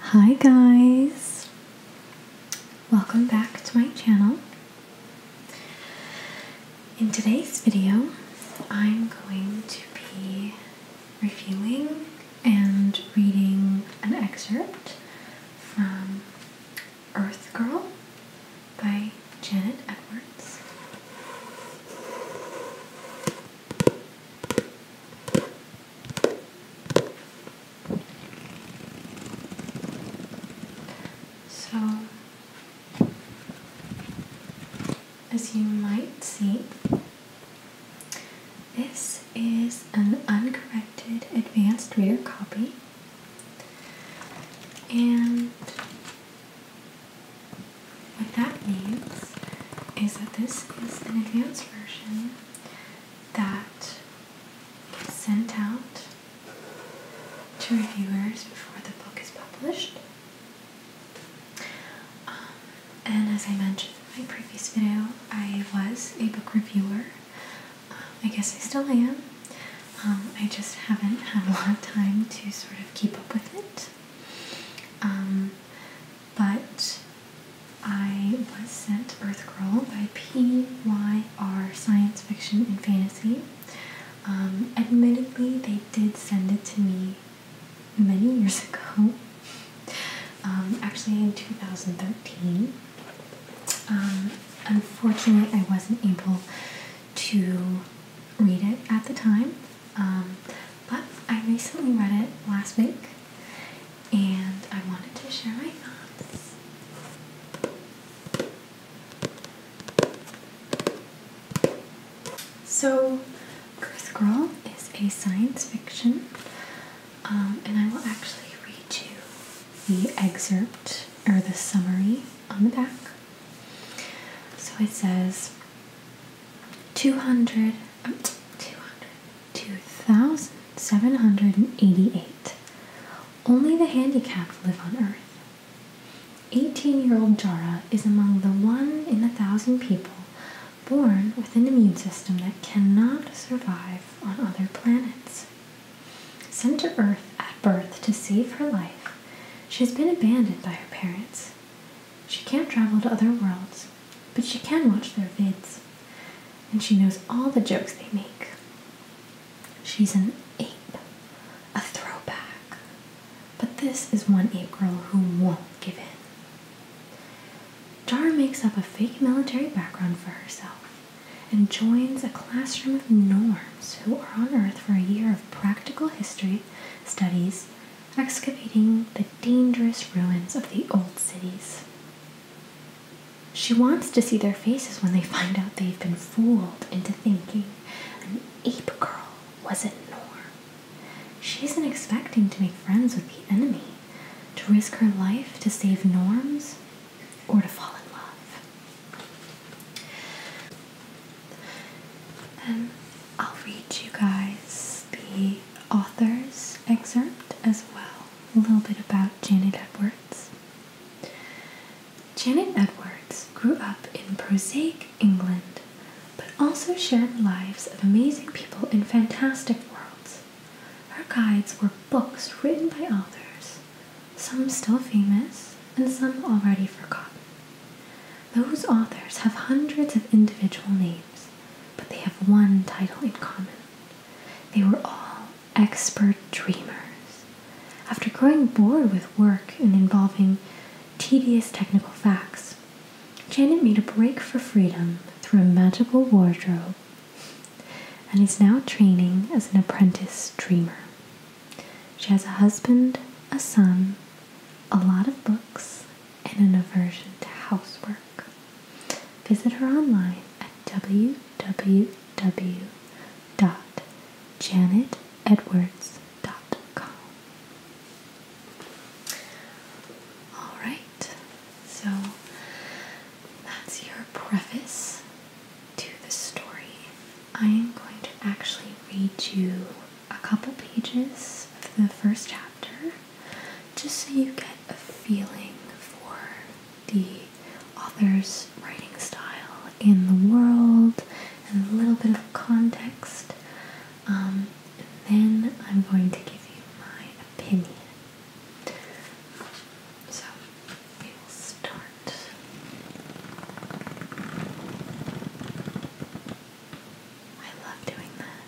Hi guys! Welcome back to my channel. In today's video, I'm going to be reviewing and reading an excerpt from Earth Girl by Janet Edwards. So, as you might see, this is an uncorrected advanced reader copy, and what that means is that this is an advanced version that is sent out to reviewers before the book is published. Um, and as I mentioned in my previous video, I was a book reviewer. Um, I guess I still am. Um, I just haven't had a lot of time to sort of keep up with it but I was sent Earth Girl by PYR Science Fiction and Fantasy. Um, admittedly, they did send it to me many years ago, um, actually in 2013. Um, unfortunately, I wasn't able to read it at the time. Um, but I recently read it last week and I wanted to share my thoughts. So, Girth Girl is a science fiction, um, and I will actually read you the excerpt or the summary on the back. So it says 200, um, 200 2,788. Only the handicapped live on Earth. 18 year old Jara is among the one in a thousand people born with an immune system that cannot survive on other planets. Sent to Earth at birth to save her life, she has been abandoned by her parents. She can't travel to other worlds, but she can watch their vids, and she knows all the jokes they make. She's an ape, a throwback, but this is one ape girl who won't give in. Dar makes up a fake military background for herself and joins a classroom of norms who are on Earth for a year of practical history studies excavating the dangerous ruins of the old cities. She wants to see their faces when they find out they've been fooled into thinking an ape girl wasn't Norm. She isn't expecting to make friends with the enemy, to risk her life to save Norm's, or to fall in love. And I'll read you guys the author's excerpt as well, a little bit about Janet Edwards. Janet Edwards grew up in prosaic England, but also shared lives of amazing people in fantastic worlds. Her guides were books written by authors, some still famous and some already forgotten. Those authors have hundreds of individual names, but they have one title in common. They were all expert dreamers. After growing bored with work and involving tedious technical facts, Janet made a break for freedom through a magical wardrobe and is now training as an apprentice dreamer. She has a husband, a son, a lot of books, and an aversion to housework. Visit her online at www.janetedwards.com. All right, so that's your preface to the story. I am going to actually read you a couple pages of the first chapter just so you get a feeling for the author's writing style in the world and a little bit of context. Um, then I'm going to give you my opinion. So we will start. I love doing that.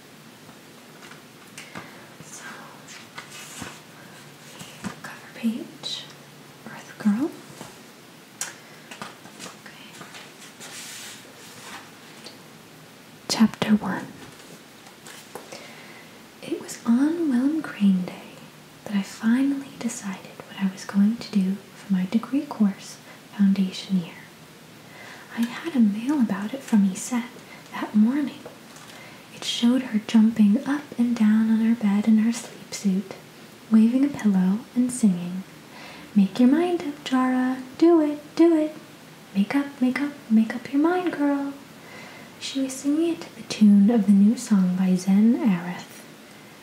So, cover page, Earth Girl. Okay. Chapter 1. It was on Willem Crane Day that I finally decided what I was going to do for my degree course foundation year. I had a mail about it from Yset that morning. It showed her jumping up and down on her bed in her sleep suit, waving a pillow and singing, Make your mind up, Jara, do it, do it. Make up, make up, make up your mind, girl. She was singing it to the tune of the new song by Zen Arith.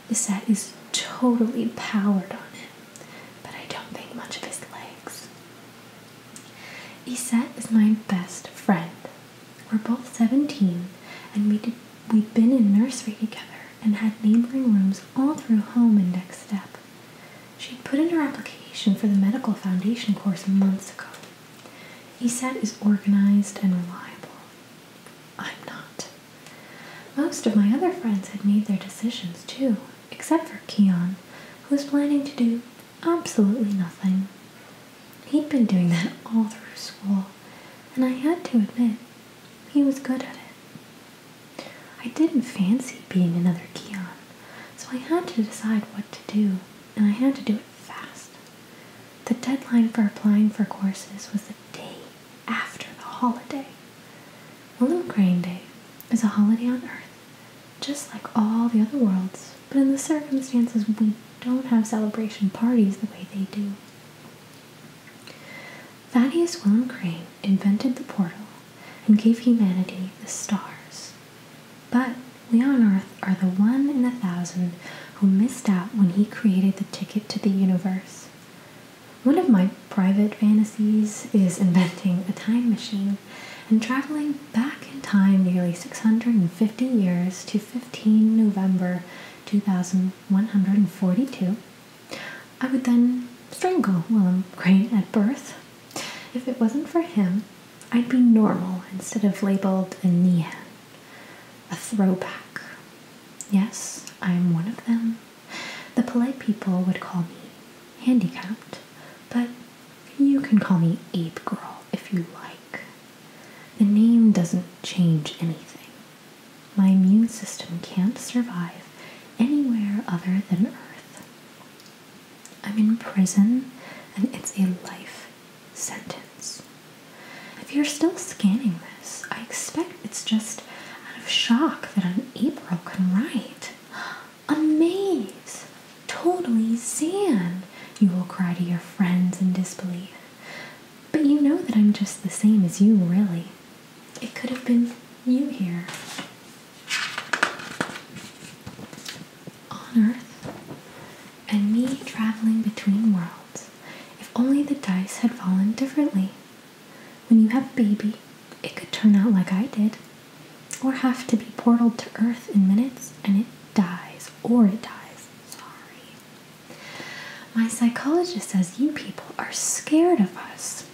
The is totally powered on it but I don't think much of his legs. Iset is my best friend. We're both 17, and we we've been in nursery together and had neighboring rooms all through home and next step. She'd put in her application for the medical foundation course months ago. Iset is organized and reliable. I'm not. Most of my other friends had made their decisions too, except for Keon, who was planning to do absolutely nothing. He'd been doing that all through school, and I had to admit, he was good at it. I didn't fancy being another Keon, so I had to decide what to do, and I had to do it fast. The deadline for applying for courses was the day after the holiday little Crane Day is a holiday on Earth, just like all the other worlds, but in the circumstances, we don't have celebration parties the way they do. Thaddeus William Crane invented the portal and gave humanity the stars. But we on Earth are the one in a thousand who missed out when he created the ticket to the universe. One of my private fantasies is inventing a time machine and traveling back in time nearly 650 years to 15 November 2142. I would then strangle William Crane at birth. If it wasn't for him, I'd be normal instead of labeled a Nehan, a throwback. Yes, I'm one of them. The polite people would call me handicapped, but you can call me Ape Girl if you like. The name doesn't change anything. My immune system can't survive anywhere other than Earth. I'm in prison and it's a life sentence. If you're still scanning this, I expect it's just out of shock that an April can write. Amaze! Totally sand! You will cry to your friends in disbelief. But you know that I'm just the same as you, really. It could have been you here. On Earth, and me traveling between worlds. If only the dice had fallen differently. When you have a baby, it could turn out like I did, or have to be portaled to Earth in minutes and it dies, or it dies. Sorry. My psychologist says you people are scared of us.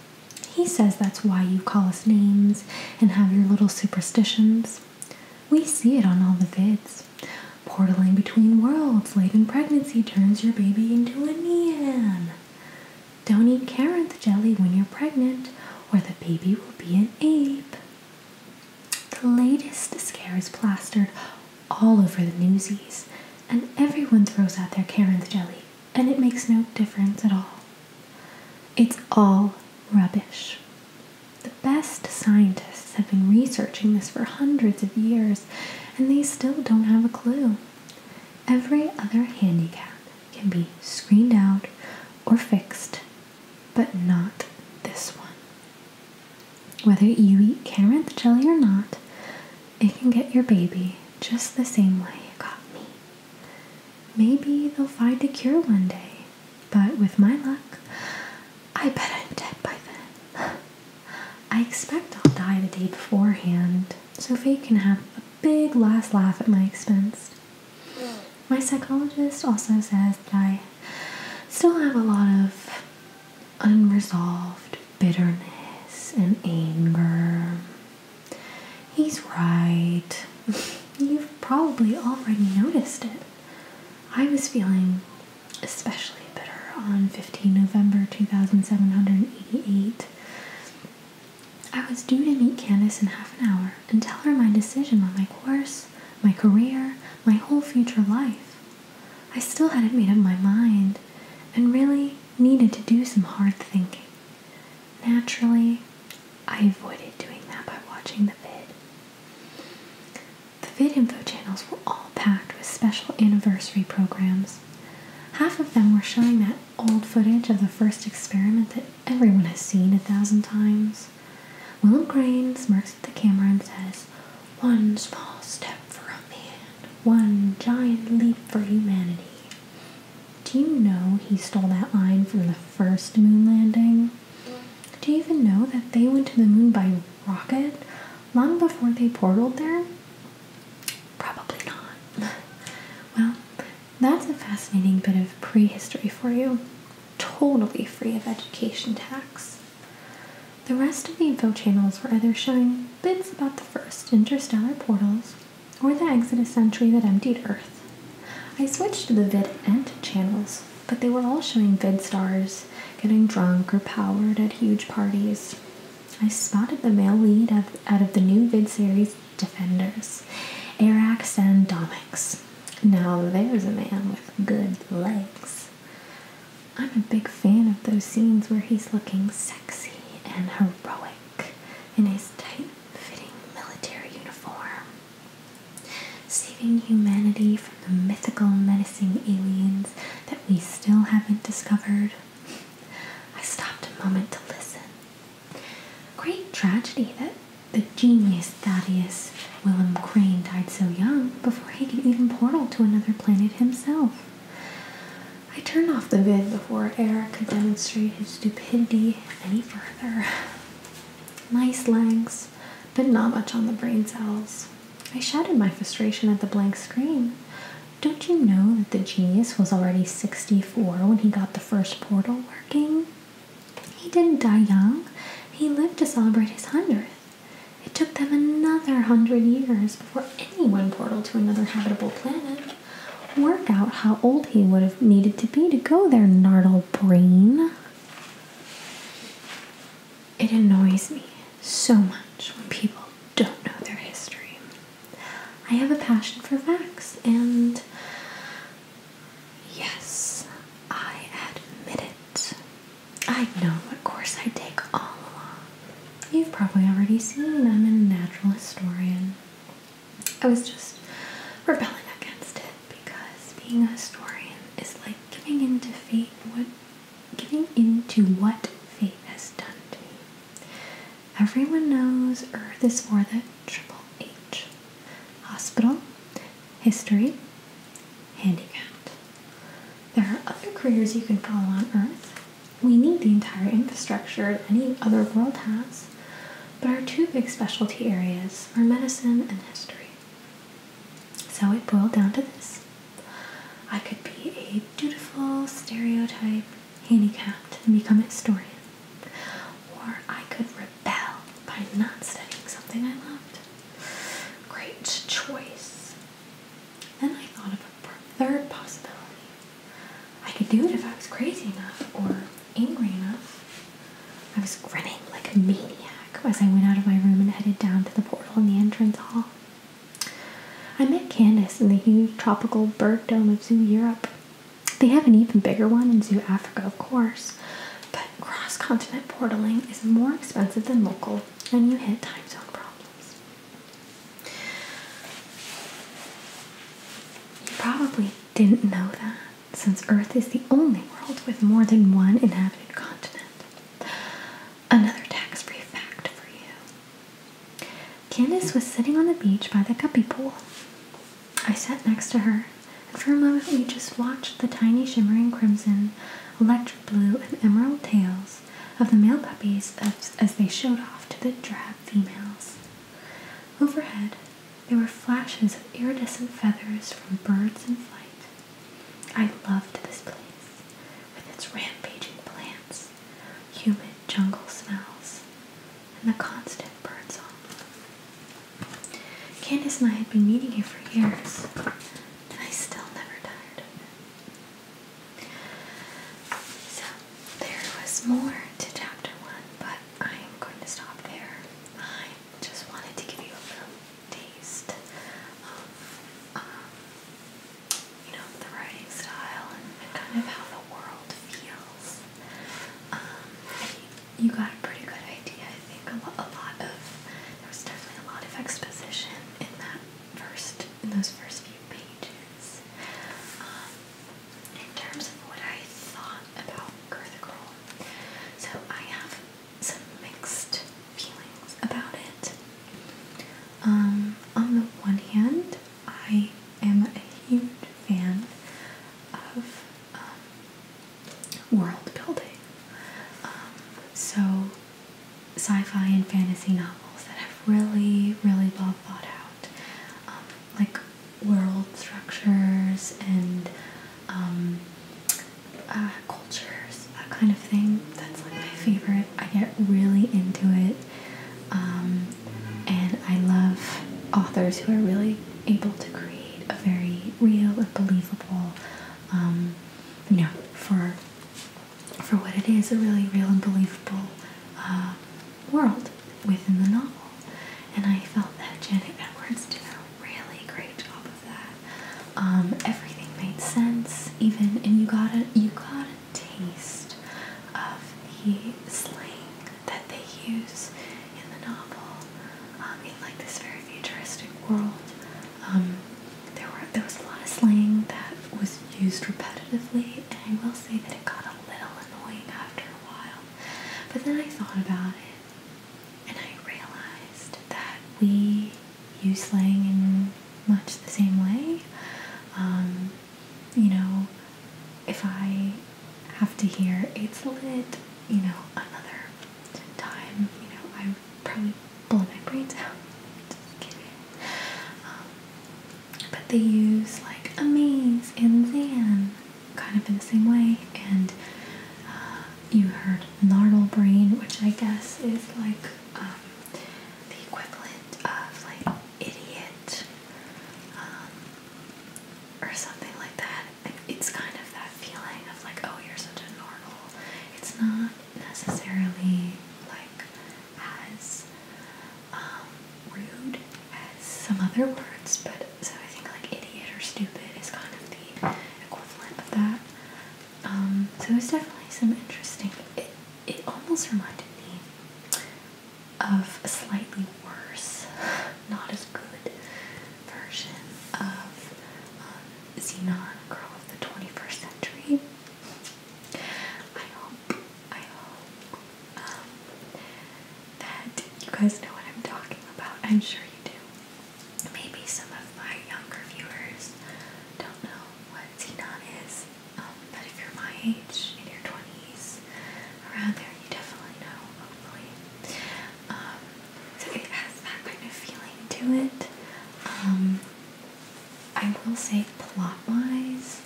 He says that's why you call us names and have your little superstitions. We see it on all the vids. Portaling between worlds late in pregnancy turns your baby into a man. Don't eat carrot jelly when you're pregnant, or the baby will be an ape. The latest scare is plastered all over the newsies, and everyone throws out their Karen's jelly, and it makes no difference at all. It's all rubbish. The best scientists have been researching this for hundreds of years, and they still don't have a clue. Every other handicap can be screened out or fixed, but not this one. Whether you eat Amaranth jelly or not, it can get your baby just the same way it got me. Maybe they'll find a cure one day, but with my luck, I bet I'm dead by then. I expect I'll die the day beforehand. Sophie can have a big last laugh at my expense. My psychologist also says that I still have a lot of unresolved bitterness and anger. He's right. You've probably already noticed it. I was feeling especially bitter on 15 November 2788 I was due to meet Candace in half an hour and tell her my decision on my course, my career, my whole future life. I still hadn't made up my mind and really needed to do some hard thinking. Naturally, I avoided doing that by watching the vid. The vid info channels were all packed with special anniversary programs Half of them were showing that old footage of the first experiment that everyone has seen a thousand times. Willem Crane smirks at the camera and says, One small step for a man, one giant leap for humanity. Do you know he stole that line from the first moon landing? Do you even know that they went to the moon by rocket long before they portaled there? Probably not. well, that's a fascinating bit of prehistory for you. Totally free of education tax. The rest of the info channels were either showing bits about the first interstellar portals or the Exodus century that emptied Earth. I switched to the vid end channels, but they were all showing vid stars getting drunk or powered at huge parties. I spotted the male lead of, out of the new vid series Defenders, Arax and Domix. Now there's a man with good legs. I'm a big fan of those scenes where he's looking sexy and heroic in his tight fitting military uniform, saving humanity from the mythical menacing aliens that we still haven't discovered I stopped a moment to listen. Great tragedy that the genius Thaddeus Willem Crane died so young before he could even portal to another planet himself. I turned off the vid before Eric could demonstrate his stupidity any further. Nice legs, but not much on the brain cells. I shouted my frustration at the blank screen, don't you know that the genius was already 64 when he got the first portal working? He didn't die young, he lived to celebrate his 100th. It took them another 100 years before any one portal to another habitable planet. worked out how old he would have needed to be to go there, Nardle Brain. It annoys me so much when people don't know their history. I have a passion for facts, and yes, I admit it. I know what course I take all along. You've probably already seen I'm a natural historian. I was just rebelling against it because being a historian is like giving in to fate. What Getting into what fate has done to me. Everyone knows Earth is for the triple H hospital, history, handicapped. There are other careers you can follow on Earth. We need the entire infrastructure any other world has, but our two big specialty areas are medicine and history. So it boiled down to this I could be a dutiful, stereotype, handicapped, and become a historian. Or I could rebel by not studying something I loved. Great choice. Then I thought of a third possibility. I could do it if I was crazy enough or angry enough. I was grinning like a maniac as I went out of my room and headed down to the portal in the entrance hall. I met Candace in the huge tropical bird dome of Zoo Europe. They have an even bigger one in Zoo Africa, of course, but cross continent portaling is more expensive than local, and you hit time zone problems. You probably didn't know that, since Earth is the only world with more than one inhabited continent. Another tax free fact for you Candace was sitting on the beach by the guppy pool. I sat next to her, and for a moment we just watched the tiny shimmering crimson, electric blue, and emerald tails of the male puppies as they showed off to the drab females. Overhead, there were flashes of iridescent feathers from birds in flight. I loved this place with its rampaging plants, humid jungle smells, and the constant birdsong. Candace and I had been meeting here for years, and I still never tired of it. So, there was more to chapter one, but I'm going to stop there. I just wanted to give you a little taste of um, you know, the writing style and, and kind of how the world feels. Um, you, you got a pretty good idea, I think. A, lo a lot of, there was definitely a lot of exposition in that first, in those first few pages. Um, in terms of what I thought about Girl the Girl, so I have some mixed feelings about it. Um, on the one hand, I am a huge fan of um, world building. Um, so, sci fi and fantasy novels that have really, really well thought out, um, like world structures and um, uh, cultures, that kind of thing. That's like my favorite. I get really into it. Um, and I love authors who are really able to create a very real and believable, um, you know, for for what it is, a really real and believable uh, world within the novel. And I felt that Janet Edwards did a really great job of that. Um, everything made sense, even and you got a you got a taste of the slang that they use in the novel. Um, in like this very futuristic world, um, there were there was a lot of slang that was used repetitively, and I will say that it got a little annoying after a while. But then I thought about it, and I realized that we use slang in much the same way. Um, you know, if I have to hear it's lit, you know, another time, you know, I would probably blow my brains out. Just kidding. Um, but they use like amaze and zan kind of in the same way, and uh, you heard gnarled brain, which I guess is like um, the equivalent of like idiot um, or something like that. It's kind of that feeling of like, oh, you're such a normal. It's not necessarily like as um, rude as some other words, but so I think like idiot or stupid is kind of the equivalent of that. Um, so there's definitely some interesting. It, it almost reminded me of a slightly worse, not as good version of um, Xenon, Girl of the 21st Century. I hope, I hope um, that you guys know what I'm talking about. I'm sure you do. Maybe some of my younger viewers don't know what xenon is, um, but if you're my age, in your 20s, around there, you definitely know, hopefully. Um, so it has that kind of feeling to it. Um, I will say, plotwise,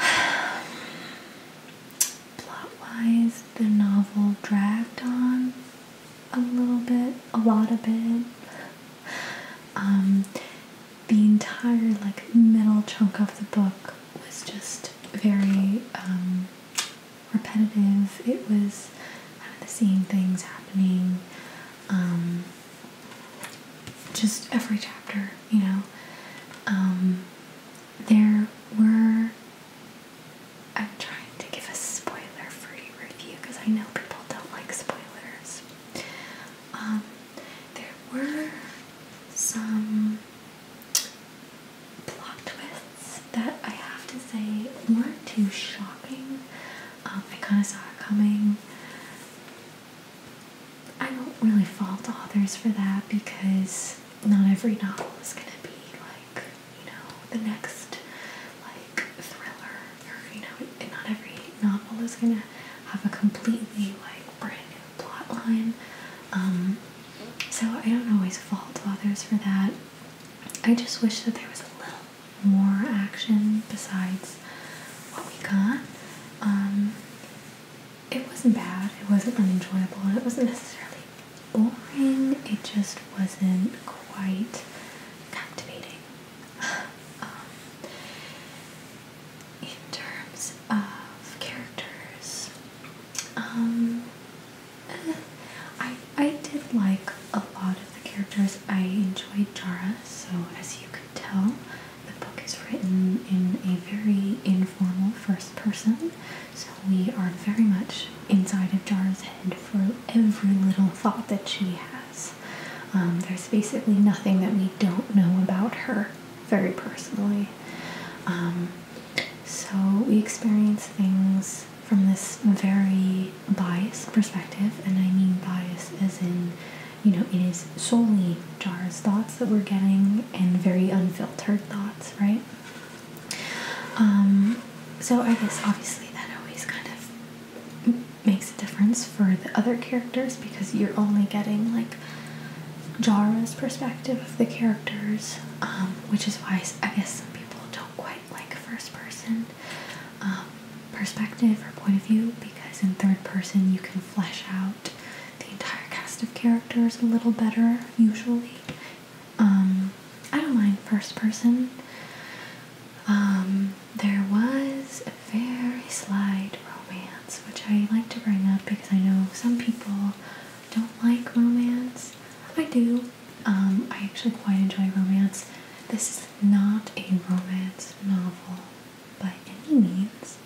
wise the novel dragged on a little bit, a lot of it. Um, the entire like middle chunk of the book was just very um, repetitive. It was kind of the same things happening. Um, just every chapter, you know. Um, there were. I'm trying to give a spoiler for you review because I know people don't like spoilers. Um, there were some plot twists that I have to say weren't too shocking. Um, I kind of saw it coming. I don't really fault authors for that because not every novel is going to be like you know, the next like thriller or you know, not every novel is gonna have a completely like brand new plot line. Um, so I don't always fault authors for that. I just wish that there was a little more action besides what we got. Um, it wasn't bad, it wasn't unenjoyable, and it wasn't necessarily boring, it just wasn't quite captivating. in terms of characters, um, eh, I I did like a lot of the characters. I enjoyed Jara, so as you could tell, the book is written in a very informal first person. So we are very much inside of Jara's head for every little thought that she has. Um, there's basically nothing that we don't know about her very personally. Um, so we experience things from this very biased perspective, and I mean bias is in, you know, it is solely Jara's thoughts that we're getting and very unfiltered thoughts, right? Um, so I guess obviously that always kind of makes a difference for the other characters because you're only getting like Jarrah's perspective of the characters, um, which is why I guess some people don't quite like first person um, perspective or point of view because in third person you can flesh out the entire cast of characters a little better usually. Um, I don't mind first person. Um, there was a very slight romance, which I like to bring up because I know some people don't like romance. I do. Um, I actually quite enjoy romance. This is not a romance novel by any means.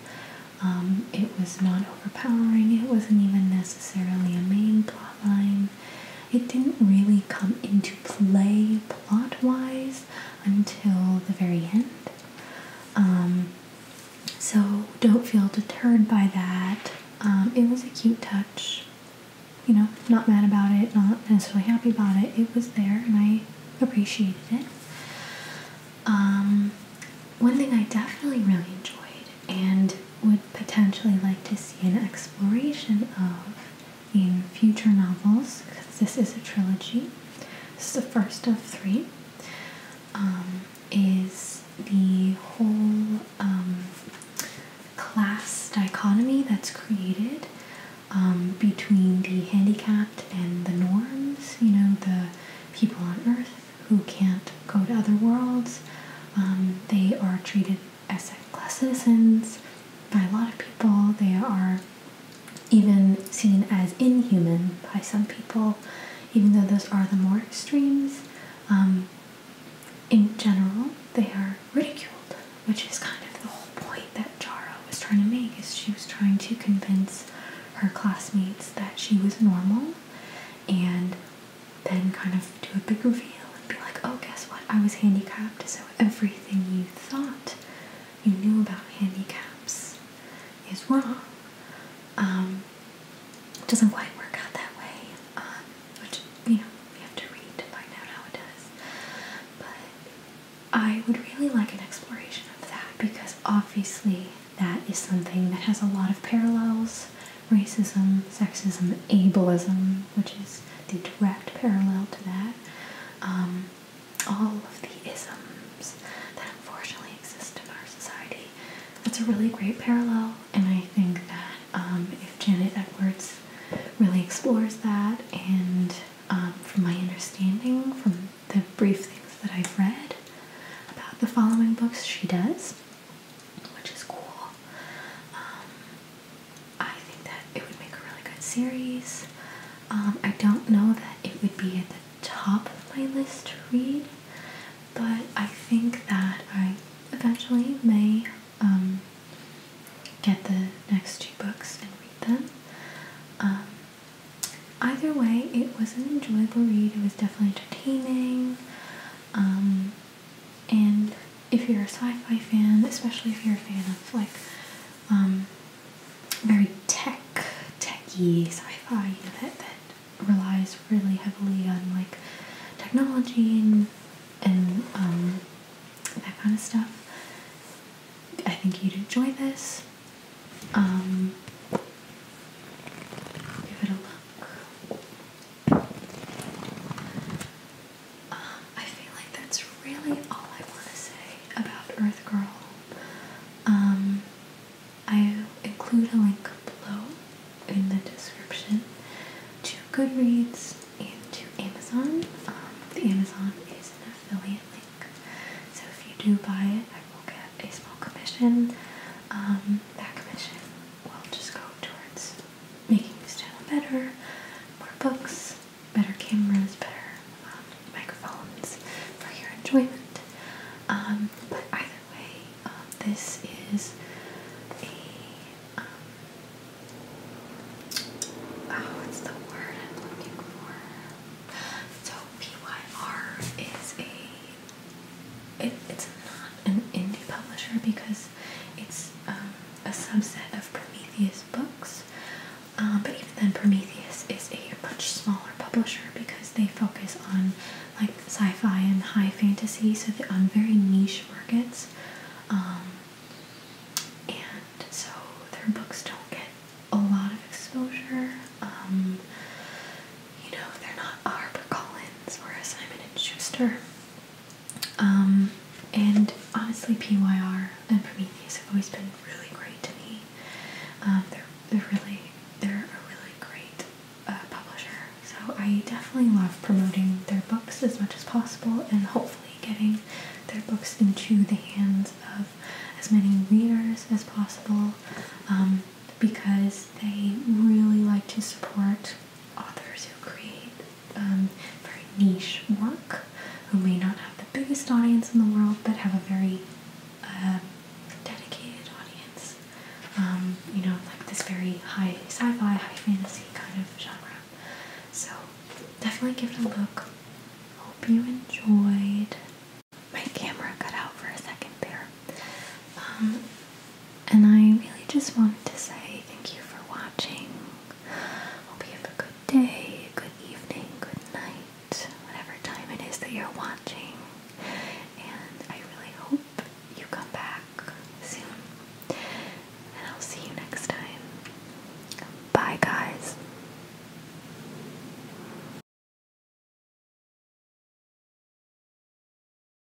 Um, it was not overpowering, it wasn't even necessarily a main plot line it didn't really come into play plot wise until the very end. Um, so don't feel deterred by that. Um, it was a cute touch. You know, not mad about it, not necessarily happy about it. It was there and I appreciated it. Um, one thing I definitely really enjoyed and would potentially like to see an exploration of in future novels because this is a trilogy. This is the first of three. Um, is the whole um, class dichotomy that's created um, between the handicapped and the norms? You know, the people on Earth who can't go to other worlds. they are treated as asset class citizens by a lot of people. They are even seen as inhuman by some people, even though those are the more extremes. Um, in general, they are ridiculed, which is kind of the whole point that Jara was trying to make. Is she was trying to convince her classmates that she was normal, and then kind of do a big reveal and be like, oh, guess what? I was handicapped, so everything you thought you knew about handicaps is wrong. Um, doesn't quite work out that way, um, which, you know, we have to read to find out how it does. But I would really like an exploration of that because obviously that is something that has a lot of parallels racism, sexism, ableism, which is the direct parallel to that, um, all of the isms that unfortunately exist in our society. It's a really great parallel, and I think that um, if Janet Edwards really explores that, and um, from my understanding, from the brief things that I've read about the following books, she does which is cool. Um, I think that it would make a really good series. Um, I don't know that it would be at the top of my list to read, but I think that I eventually may um, get the next two books and read them. either way, it was an enjoyable read. It was definitely entertaining. And if you're a sci-fi fan, especially if you're a fan of like um, very tech, techy sci-fi, unit that relies really heavily on like technology and um, that kind of stuff. I think you'd enjoy this. Um, give it a look. I feel like that's really all I want to say about Earth Girl. Um, I include a link below in the description to Goodreads and to Amazon. Um, the Amazon is an affiliate link, so if you do buy it, I will get a small commission. Um, that commission will just go towards making this channel better, more books, better cameras, better um, microphones for your enjoyment. Um, but either way, um, this is a, um, oh, what's the word I'm looking for? So PYR is a, it, it's a an indie publisher because it's um, a subset of Prometheus Books. Uh, but even then, Prometheus is a much smaller publisher because they focus on like sci-fi and high fantasy, so they're on very niche markets. Um, and so their books don't get a lot of exposure. Um, you know, they're not HarperCollins or Simon and Schuster. Um, and honestly, PYR and Prometheus have always been really great to me. Um, they're they're really they're a really great uh, publisher, so I definitely love promoting their books as much as possible, and hopefully getting their books into the hands of as many readers as possible, um, because they really like to support authors who create um, very niche work, who may not have the biggest audience in the world, but have a very um, dedicated audience. Um, you know, like this very high sci-fi, high fantasy kind of genre. So definitely give it a look. Hope you enjoyed. My camera cut out for a second there. And I really just wanted to say thank you for watching. Hope you have a good day, good evening, good night, whatever time it is that you're watching. And I really hope you come back soon. And I'll see you next time. Bye, guys.